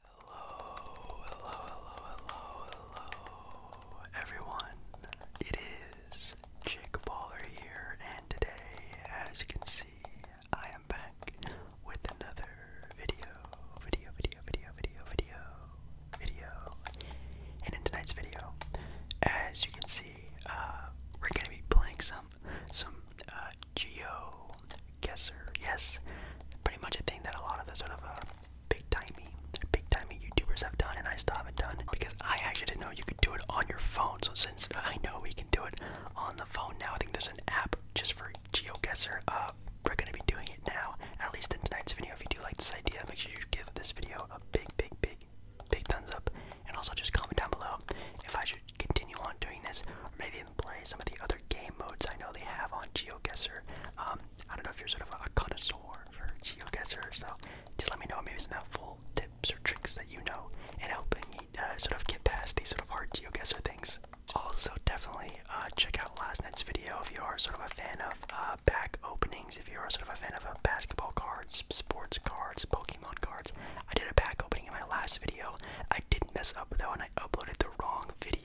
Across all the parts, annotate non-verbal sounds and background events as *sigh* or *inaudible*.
Hello, hello, hello, hello, hello, everyone. It is Jake Baller here, and today, as you can see, I am back with another video, video, video, video, video, video, video. And in tonight's video, as you can see, uh, we're gonna be playing some, some uh, Geo Guesser. Yes, pretty much a thing that a lot of the sort of uh, big timey, big timey YouTubers have done, and I still haven't done because I actually didn't know you could do it on your phone. So since I know we can do it on the phone now, I think there's an app just for Geo Guesser. Uh, we're gonna be doing it now, at least in tonight's video. If you do like this idea, make sure you give this video a big, big, big, big thumbs up, and also just comment down below if I should continue on doing this, or maybe play some of the other game modes I know they have on GeoGuessr. Um, I don't know if you're sort of a connoisseur for GeoGuessr, so just let me know maybe some helpful tips or tricks that you know in helping me uh, sort of get past these sort of hard GeoGuessr things. Also, definitely uh, check out last night's video if you are sort of a fan of uh, pack openings, if you are sort of a fan of uh, basketball cards, sports cards, Pokemon cards. I did a pack opening in my last video. I did not mess up though, and I uploaded the wrong video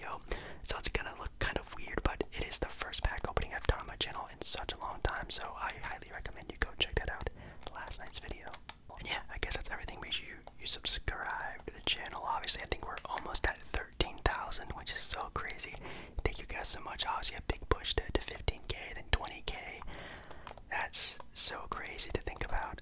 so it's gonna look kind of weird, but it is the first pack opening I've done on my channel in such a long time, so I highly recommend you go check that out, last night's video. And yeah, I guess that's everything. Make sure you, you subscribe to the channel. Obviously, I think we're almost at 13,000, which is so crazy. Thank you guys so much. Obviously, a big push to 15k, then 20k. That's so crazy to think about.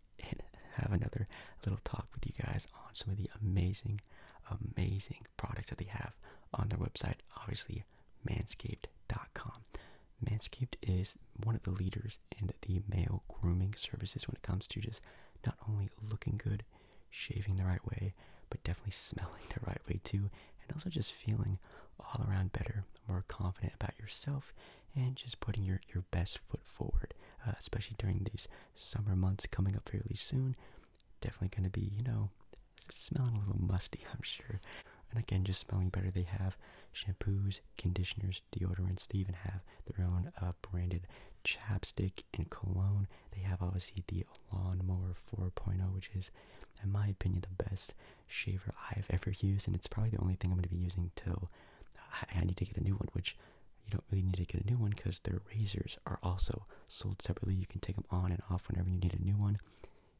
and have another little talk with you guys on some of the amazing, amazing products that they have on their website. Obviously, manscaped.com. Manscaped is one of the leaders in the male grooming services when it comes to just not only looking good, shaving the right way, but definitely *laughs* smelling the right way too, and also just feeling all around better, more confident about yourself, and just putting your, your best foot forward, uh, especially during these summer months coming up fairly soon. Definitely going to be, you know, smelling a little musty, *laughs* I'm sure. And again, just smelling better, they have shampoos, conditioners, deodorants. They even have their own uh, branded chapstick and cologne. They have obviously the Lawnmower 4.0, which is, in my opinion, the best shaver I've ever used, and it's probably the only thing I'm going to be using till I, need to get a new one, which you don't really need to get a new one because their razors are also sold separately. You can take them on and off whenever you need a new one.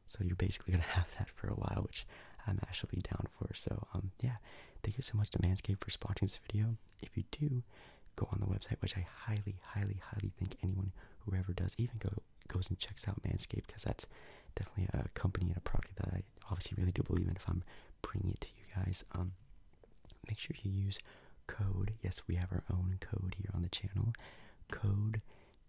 So you're basically *laughs* going to have that for a while, which I'm actually down for. So, um, yeah, thank you so much to Manscaped for sponsoring this video. If you do go on the website, which I highly, highly, highly think anyone who ever does even goes and checks out Manscaped because that's definitely a company and a product that I I obviously really do believe in if I'm bringing it to you guys. Um, make sure you use code. Yes, we have our own code here on the channel. Code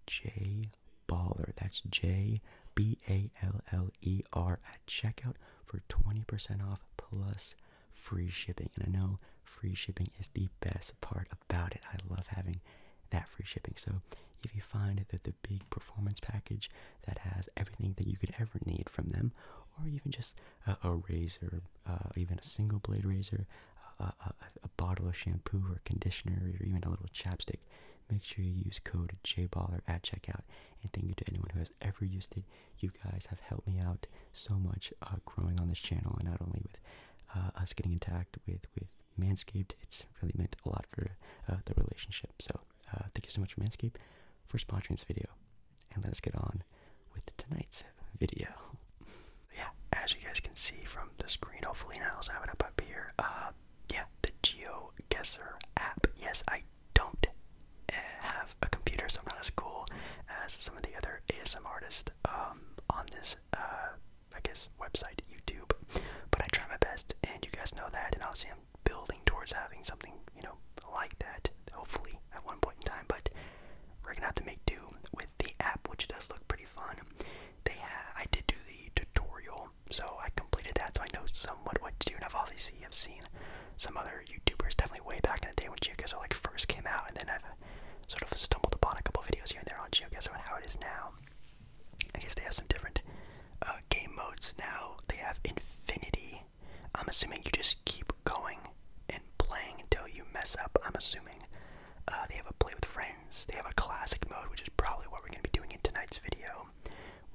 J Baller. That's J B A L L E R at checkout for 20% off plus free shipping. And I know free shipping is the best part about it. I love having that free shipping. So if you find that the big performance package that has everything that you could ever need from them, or even just a, razor, uh, even a single blade razor, a, bottle of shampoo or conditioner, or even a little chapstick. Make sure you use code JBaller at checkout. And thank you to anyone who has ever used it. You guys have helped me out so much uh, growing on this channel, and not only with uh, us getting intact with with Manscaped, it's really meant a lot for the relationship. So uh, thank you so much, for Manscaped, for sponsoring this video. And let's get on with tonight's video. *laughs* Yeah, as you guys can see from the screen, hopefully now I'll have it up up here. Uh, yeah, the GeoGuessr app. Yes, I don't eh, have a computer, so I'm not as cool as some of the other ASM artists um, on this, uh, I guess, website, YouTube. But I try my best, and you guys know that. And obviously, I'm building towards having something, you know, like that. Hopefully, at one point in time. But we're gonna have to make do with the app, which does look pretty fun. They, have, I did do the tutorial, so I completed that, so I know somewhat what to do. And I've obviously have seen some other YouTubers, definitely way back in the day when GeoGuessr like first came out, and then I've sort of stumbled upon a couple videos here and there on GeoGuessr on how it is now. I guess they have some different uh, game modes now. They have infinity. I'm assuming you just keep going and playing until you mess up. I'm assuming uh, they have a play with friends. They have a classic mode, which is probably what we're going to be doing in tonight's video.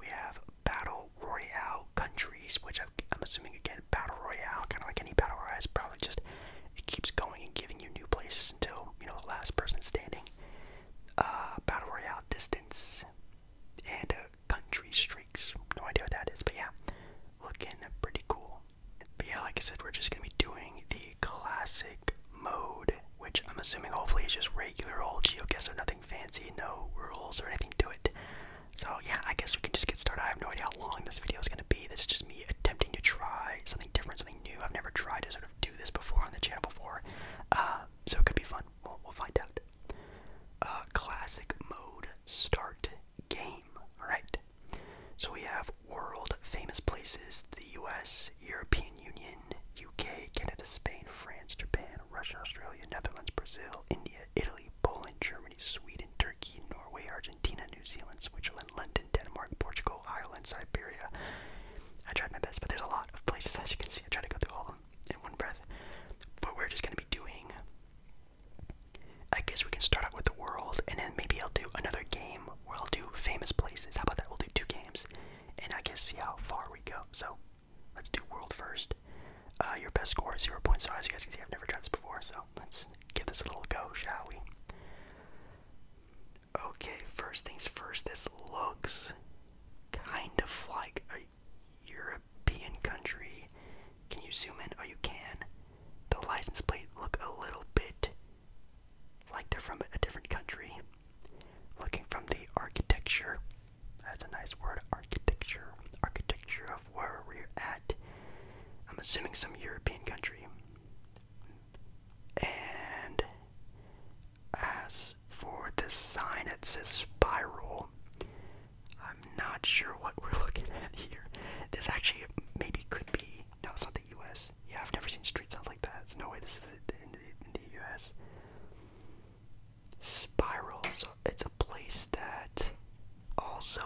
We have battle royale countries, which i I'm assuming again battle royale, kind of like any battle royale, is probably just it keeps going and giving you new places until you know the last person standing uh, battle royale distance, and uh, country streaks. No idea what that is, but yeah, looking pretty cool. But yeah, like I said, we're just gonna be doing the classic mode, which I'm assuming hopefully is just regular old GeoGuessr, nothing fancy, no rules or anything to it. So yeah, I guess we can just get started. I have no idea how long this video is gonna be. This is just me attempting to try something different, something new. I've never tried to sort of do this before on the channel before. Uh, so it could be fun. We'll, find out. Uh, classic mode start game. Alright. So we have world famous places the US, European Union, UK, Canada, Spain, France, Japan, Russia, Australia, Netherlands, Brazil, India, Italy, Poland, Germany, Sweden, Turkey, Norway, Argentina, New Zealand, Switzerland, London, Denmark, Portugal, Ireland, Siberia, I tried my best, but there's a lot of places as you can see. I tried to go through all of them in one breath. But we're just gonna be doing I guess we can start out with the world and then maybe I'll do another game where I'll do famous places. How about that? We'll do two games and I guess see how far we go. So let's do world first. Uh, your best score is 0 points, so as you guys can see, I've never tried this before, so let's give this a little go, shall we? Okay, first things first, this looks kind of like a European country. Can you zoom in? Oh, you can. The license plate look a little bit like they're from a different country. Looking from the architecture, that's a nice word, architecture. Architecture of where we're at. I'm assuming some European country. And as for this sign that says spiral, I'm not sure what we're *laughs* looking at here. This actually maybe could be. No, it's not the U.S. Yeah, I've never seen street signs like that. It's no way this is in the, in the U.S. Spiral. So it's a place that also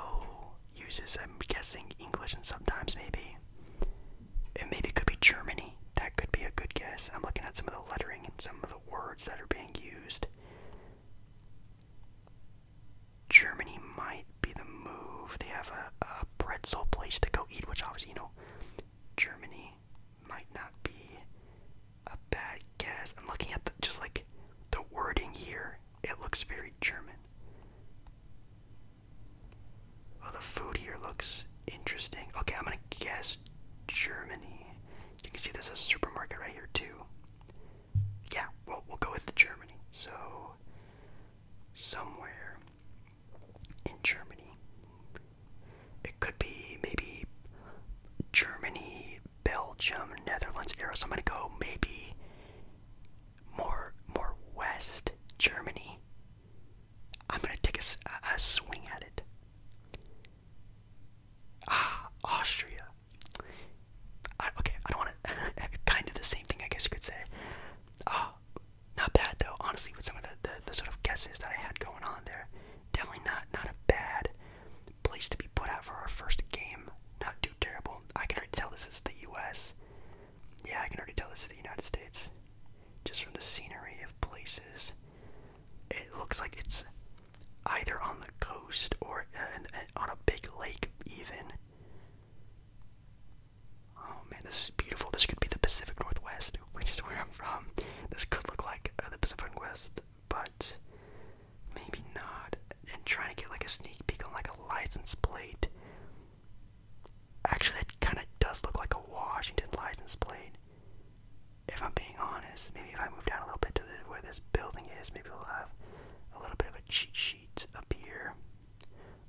uses, I'm guessing, English and sometimes maybe it maybe could be Germany. That could be a good guess. I'm looking at some of the lettering and some of the words that are being used. Germany might be the move. They have a, a pretzel place to go eat, which obviously, you know, Germany might not be a bad guess. I'm looking at the, just like the wording here, it looks very German. Oh, the food here looks interesting. Okay, I'm gonna guess Germany. You can see there's a supermarket right here too. Yeah, well, we'll go with the Germany. So, somewhere in Germany, it could be maybe Germany, Belgium, Netherlands, area. So I'm gonna go maybe more more west Germany. I'm going to take a, a swing at it. Ah, Austria. okay, I don't want to. *laughs* kind of the same thing, I guess you could say. Ah, not bad though. Honestly, with some of the, the the sort of guesses that I had going on there, definitely not not a bad place to be put out for our first game. Not too terrible. I can already tell this is the U.S. Yeah, I can already tell this is the United States. Just from the scenery of places. It looks like it's either on the coast or uh, on a big lake, even. Oh man, this is beautiful. This could be the Pacific Northwest, *laughs* which is where I'm from. This could look like uh, the Pacific Northwest, but maybe not. And trying to get like a sneak peek on like a license plate Actually, that kind of does look like a Washington license plate. If I'm being honest, maybe if I move down a little bit to where this building is, maybe we'll have a little bit of a cheat sheet up here.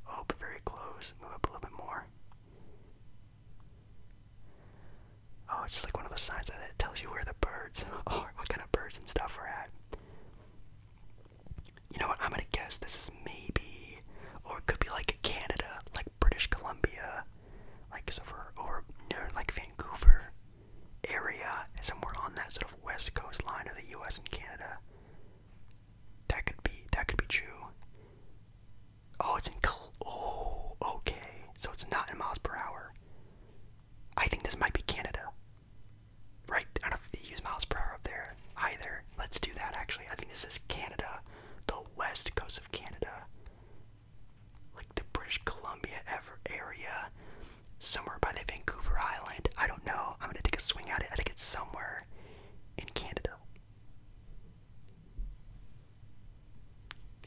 Oh, but very close. Move up a little bit more. Oh, it's just like one of those signs that tells you where the birds *laughs* are, what kind of birds and stuff are at. You know what? I'm gonna guess this is maybe, or it could be like Canada, like British Columbia, like or like Vancouver area, somewhere on that sort of west coast line of the U.S. and Canada. That could be that could be true. Oh, it's in oh okay, so it's not in miles per hour. I think this might be Canada. Right, I don't know they use miles per hour up there there Let's do that actually. I think this is Canada, the west coast of Canada, like the British Columbia ever area, somewhere by the Vancouver Island. I don't know. I'm gonna take a swing at it. I think it's somewhere in Canada.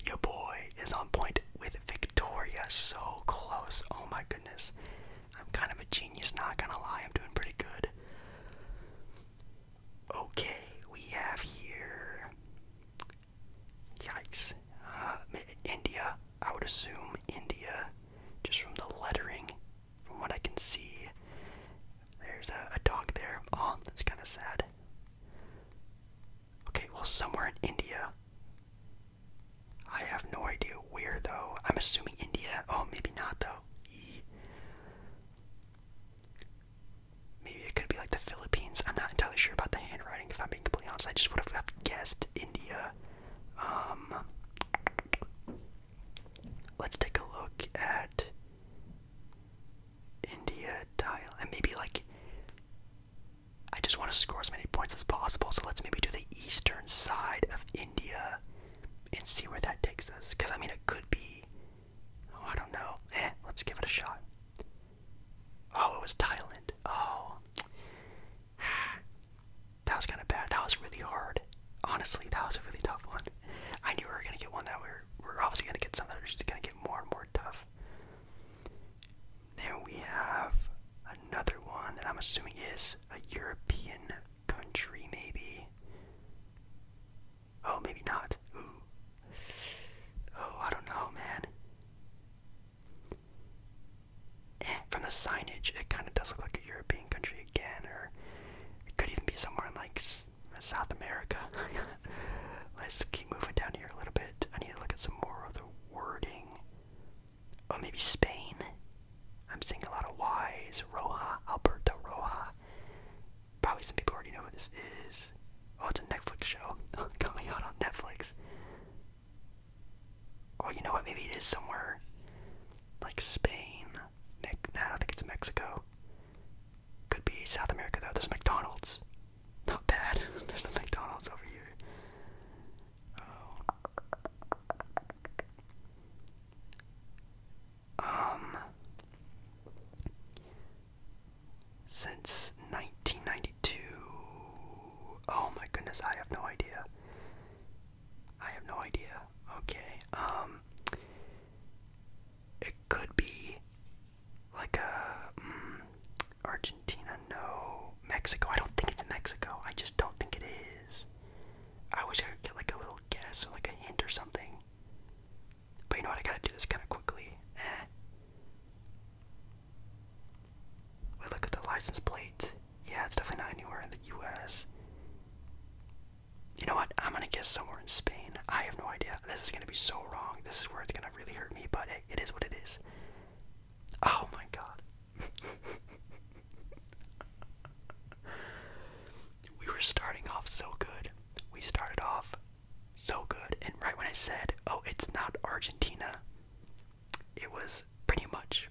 Your boy is on point with Victoria. So close. Oh my goodness. I'm kind of a genius, not gonna lie. I'm doing pretty good. Okay, we have here. Yikes. Uh, India. I would assume India, just from the lettering, from what I can see. There's a dog there. Oh, that's kind of sad. Okay, well, somewhere in India. I have no idea where, though. I'm assuming India. Oh, maybe not, though. Maybe it could be like the Philippines. I'm not entirely sure about the handwriting, if I'm being completely honest. I just would have guessed India. Um, let's take a look at India, Thailand, and maybe like. I just want to score as many points as possible, so let's maybe do the eastern side of India and see where that takes us. Because, I mean, it could be. Oh, I don't know. Eh, let's give it a shot. Oh, it was Thailand. Oh. *sighs* That was kind of bad. That was really hard. Honestly, that was a really tough one. I knew we were going to get one that we were, we are obviously going to get something. that are just going to get more and more tough. Then we have another one that I'm assuming is a European country, maybe. Oh, maybe not. Ooh. Oh, I don't know, man. Eh, from the signage, it kind of does look like a European country again, or it could even be somewhere in like South America. *laughs* Let's keep moving down here a little bit. I need to look at some more of the wording. Oh, maybe Spain? I'm seeing a lot of Y's. Roja, Alberto Roja. Probably some people already know what this is. Oh, it's a Netflix show *laughs* oh, coming out on Netflix. Oh, you know what? Maybe it is somewhere like Spain. Nah, I think it's Mexico. Could be South America though. There's McDonald's. Not bad. *laughs* There's a McDonald's over here. Oh. Um, since 1992. Oh my goodness, I have no idea. I have no idea. Okay. Um, it could be like a mm, Argentina. No, Mexico. I don't think it's Mexico. I just don't think it is. I wish I could get like a little guess like a hint or something. But you know what? I gotta do this kind of quickly. Eh. We look at the license plate. Yeah, it's definitely not anywhere in the U.S. You know what? I'm gonna guess somewhere in Spain. I have no idea. This is gonna be so wrong. This is where it's gonna really hurt me. But it is what it is. Oh my god. *laughs* we were starting off so good. We started off so good. And right when I said, oh, it's not Argentina, it was pretty much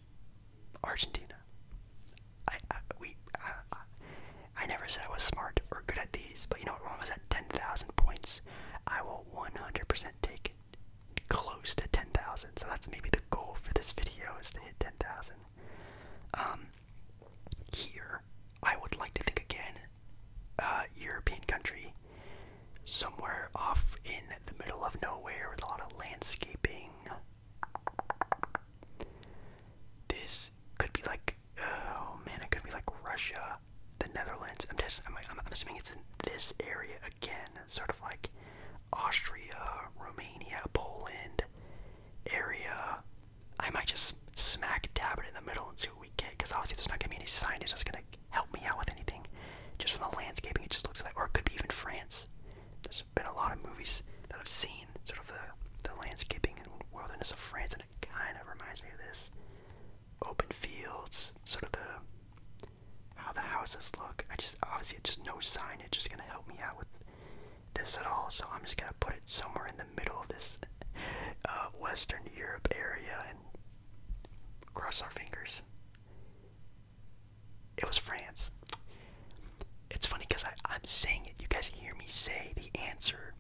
Argentina. I, we I, never said I was smart or good at these, but you know what? When I was at 10,000 points, I will 100% take it close to 10,000. So that's maybe the goal for this video is to hit 10,000. Um, here, I would like to think again, uh, European country, somewhere off in the middle of nowhere with a lot of landscaping. This could be like, oh man, it could be like Russia, the Netherlands. I'm just, I'm, like, I'm assuming it's in this area again, sort of like Austria, Romania, Poland area. I might just smack dab it in the middle and see what we get, because obviously there's not going to be any scientist that's going to help me out with anything. Just from the landscaping, it just looks like, or it could be even France. There's been a lot of movies that I've seen, sort of the, the landscaping and wilderness of France, and it kind of reminds me of this. Open fields, sort of the how the houses look. I just obviously just no sign. It's just gonna help me out with this at all. So I'm just gonna put it somewhere in the middle of this uh, Western Europe area and cross our fingers. It was France. It's funny because I'm saying it. You guys hear me say the answer,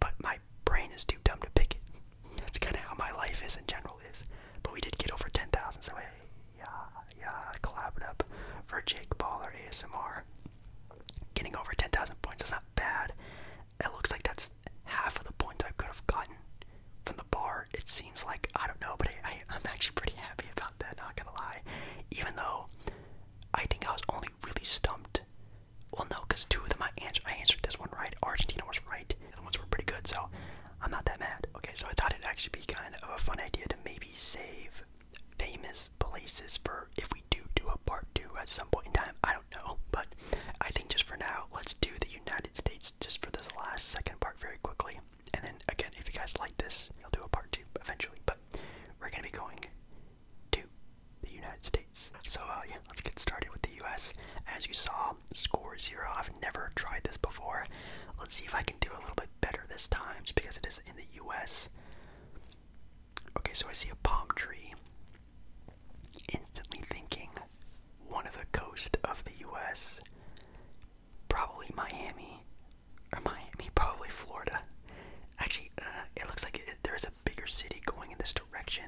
but my brain is too dumb to pick it. That's kind of how my life is in general is. But we did get over 10,000, so hey, yeah, yeah, collab it up for Jake Baller ASMR. Getting over 10,000 points is not bad. It looks like that's half of the points I could have gotten from the bar. It seems like, I don't know, but I, I, am actually pretty happy about that, not gonna lie. Even though I think I was only really stumped. Well, no, because two of them I, ans I answered this one right. Argentina was right. The ones were pretty good, so I'm not that mad. Okay, so I thought it'd actually be kind of a fun idea to maybe maybe save famous places for if we do do a part two at some point in time. I don't know, but I think just for now, let's do the United States just for this last second part very quickly. And then again, if you guys like this, I'll do a part two eventually. But we're gonna be going to the United States. So uh, yeah, let's get started with the U.S. As you saw, score zero. I've never tried this before. Let's see if I can do a little bit better this time, just because it is in the U.S. Okay, so I see a palm tree. Instantly thinking, one of the coast of the U.S. Probably Miami, or Miami, probably Florida. Actually, uh, it looks like there is a bigger city going in this direction.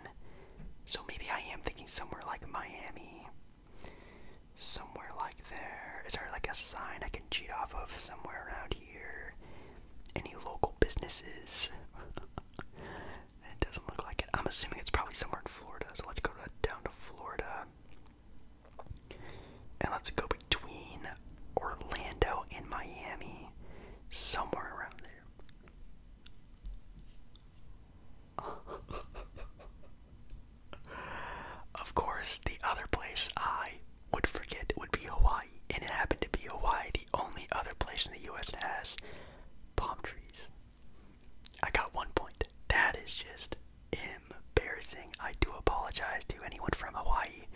So maybe I am thinking somewhere like Miami Somewhere like there. Is there like a sign I can cheat off of somewhere around here? Any local businesses? it *laughs* doesn't look like it. I'm assuming it's probably somewhere in Florida, so let's go to, down to Florida. And let's go between Orlando and Miami. Somewhere around there. *laughs* Of course, the other place I would forget would be Hawaii, and it happened to be Hawaii, the only other place in the US that has palm trees. I got one point. That is just embarrassing. I do apologize to anyone from Hawaii.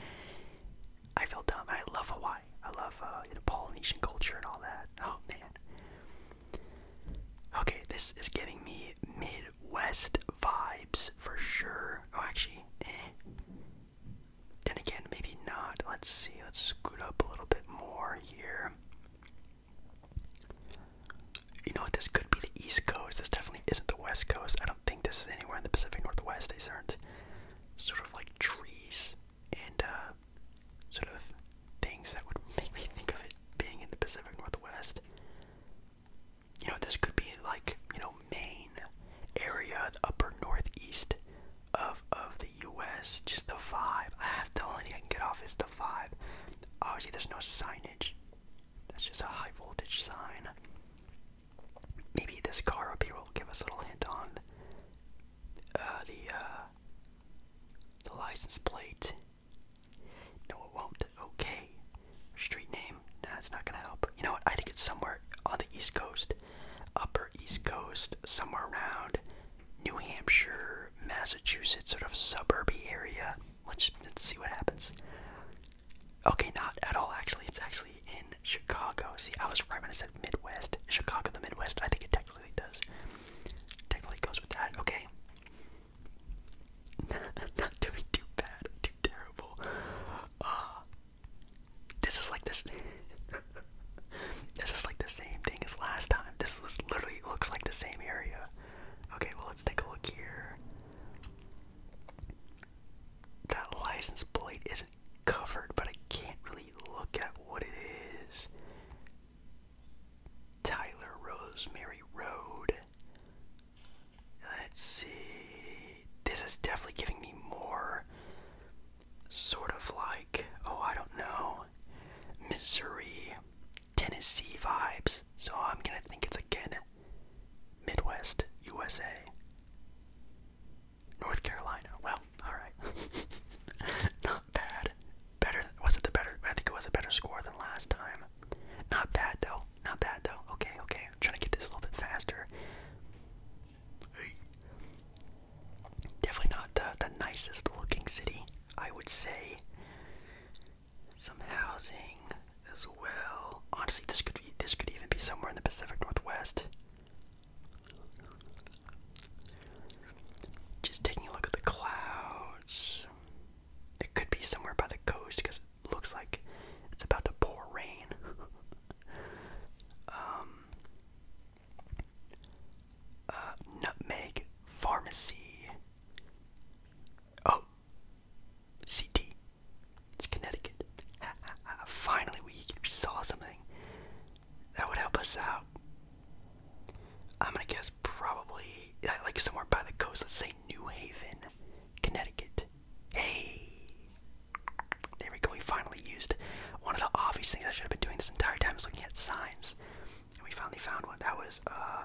I feel dumb. I love Hawaii. I love uh, Polynesian culture and all that. Oh man. Okay, this is getting me mid West vibes for sure. Oh, actually, eh. Then again, maybe not. Let's see. Let's scoot up a little bit more here. You know what? This could be the East Coast. This definitely isn't the West Coast. I don't think this is anywhere in the Pacific Northwest. These aren't sort of like trees and uh, sort of things that would *laughs* make me think of it being in the Pacific Northwest. You know, this could be like, you know, main area, the upper northeast of of the US. Just the vibe. I have the only thing I can get off is the vibe. Obviously there's no signage. That's just a high voltage sign. Maybe this car up here will give us a little hint on uh, the uh, the license plate. No, it won't. Okay. Street name? Nah, it's not gonna help. You know what? I think it's somewhere on the East Coast. Upper East Coast, somewhere around New Hampshire, Massachusetts, sort of suburbia area. Let's, let's see what happens. Okay, not at all, actually. It's actually in Chicago. See, I was right when I said Midwest. Chicago, the Midwest, I think it technically does. Technically goes with that. Okay. *laughs* not doing too bad, too terrible. Uh, this is like this. *laughs* this is like the same thing as last time. This was literally looks like the same area. Okay, well let's take a look here. That license plate isn't covered, but I can't really look at what it is. Tyler Rosemary Road. Let's see. This is definitely giving me more sort of like, oh, I don't know, Missouri, Tennessee vibes. So I'm going to think it's again Midwest, USA. North Carolina. Well, alright. *laughs* Not bad better. Was it the better? I think it was a better score than last time. Not bad though. Not bad though. Okay, okay. I'm trying to get this a little bit faster. Definitely not the, the nicest looking city, I would say. Some housing as well. Honestly, this could be, this could even be somewhere in the Pacific Northwest. Just taking a look at the clouds. It could be somewhere by the coast because it looks like it's about to pour rain. *laughs* um, uh, nutmeg pharmacy. Oh, CT. It's Connecticut. Finally, we saw something that would help us out. I'm um, gonna guess probably like somewhere by the coast. Let's say New Haven, Connecticut. Hey, there we go. We finally used one of the obvious things I should have been doing this entire time is looking at signs, and we finally found one. That was uh,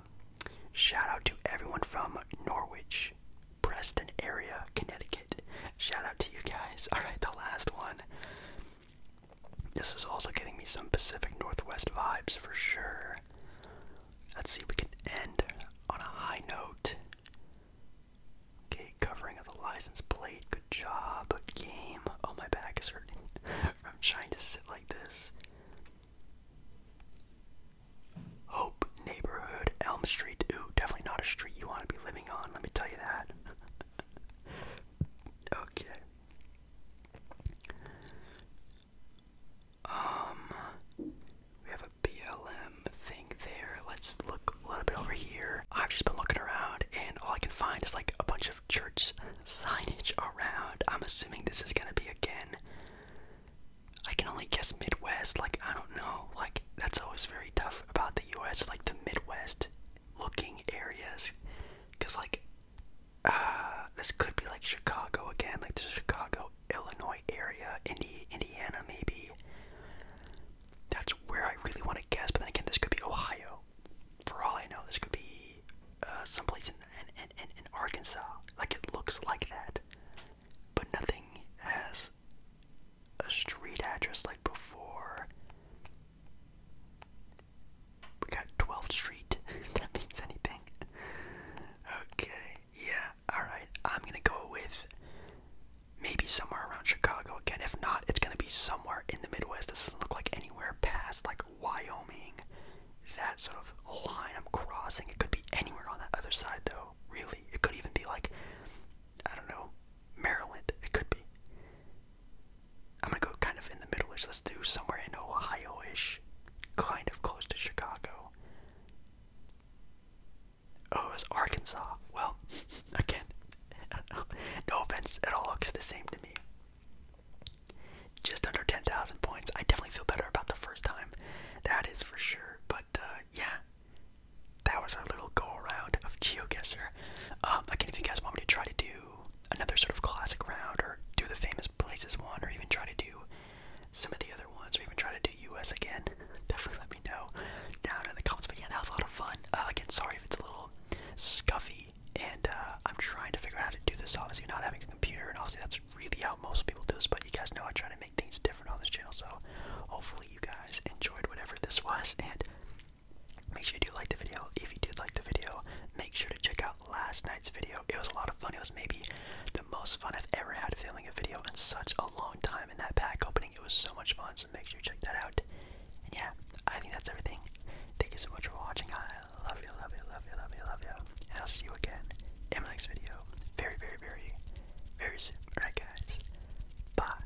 shout out to everyone from Norwich, Preston area, Connecticut. Shout out to you guys. *laughs* All right, the last one. This is also giving me some Pacific Northwest vibes for sure. Let's see if we can end on a high note. Okay, covering of the license plate. Good job, game. Oh, my back is hurting. *laughs* i trying to sit like this. Hope neighborhood, Elm Street. Ooh, definitely not a street you want to be living on, let me tell you that. *laughs* okay. Um, we have a BLM thing there. Let's look a little bit over here. I've just been looking around, and all I can find is like a bunch of church signage around. I'm assuming this is gonna be again. I can only guess Midwest. Like I don't know. Like that's always very tough about the U.S. Like the Midwest looking areas, because like uh, this could be like Chicago again, like the Chicago, Illinois area, Indi Indiana maybe. That's where I really want to guess, but then again, this could be Ohio. For all I know, this could be uh, someplace in, in, in, in Arkansas. Like it looks like that, but nothing has a street address like before. We got 12th Street, *laughs* that means anything. Okay, yeah, alright. I'm gonna go with maybe somewhere around Chicago again. If not, it's gonna be somewhere in the Midwest. This doesn't look like anywhere past like Wyoming. That sort of line I'm crossing. It could be anywhere on that other side though, really. It could even be like I don't know, Maryland. It could be. I'm gonna go kind of in the middle ish. Let's do somewhere in Ohio ish. Kind of close to Chicago. Oh, it was Arkansas. Well, *laughs* again, *laughs* no offense, it all looks the same to me. Just under 10,000 points. I definitely feel better about the first time. That is for sure. But uh, yeah, that was our little go around of GeoGuessr. Um, again, if you guys want me to try to do another sort of classic round or do the famous places one or even try to do some of the other ones or even try to do US again, *laughs* definitely let me know down in the comments. But yeah, that was a lot of fun. Uh, again, sorry if it's a little scuffy and uh, I'm trying to figure out how to do this. Obviously, not having a computer, and obviously, that's really how most people do this. But you guys know I try to make things different on this channel, so hopefully, you guys enjoyed whatever this was. And Make sure you do like the video. If you did like the video, make sure to check out last night's video. It was a lot of fun. It was maybe the most fun I've ever had filming a video in such a long time. In that pack opening, it was so much fun. So make sure you check that out. And yeah, I think that's everything. Thank you so much for watching. I love you, love you, love you, love you, love you. And I'll see you again in my next video. Very, very, very, very soon. Alright, guys. Bye.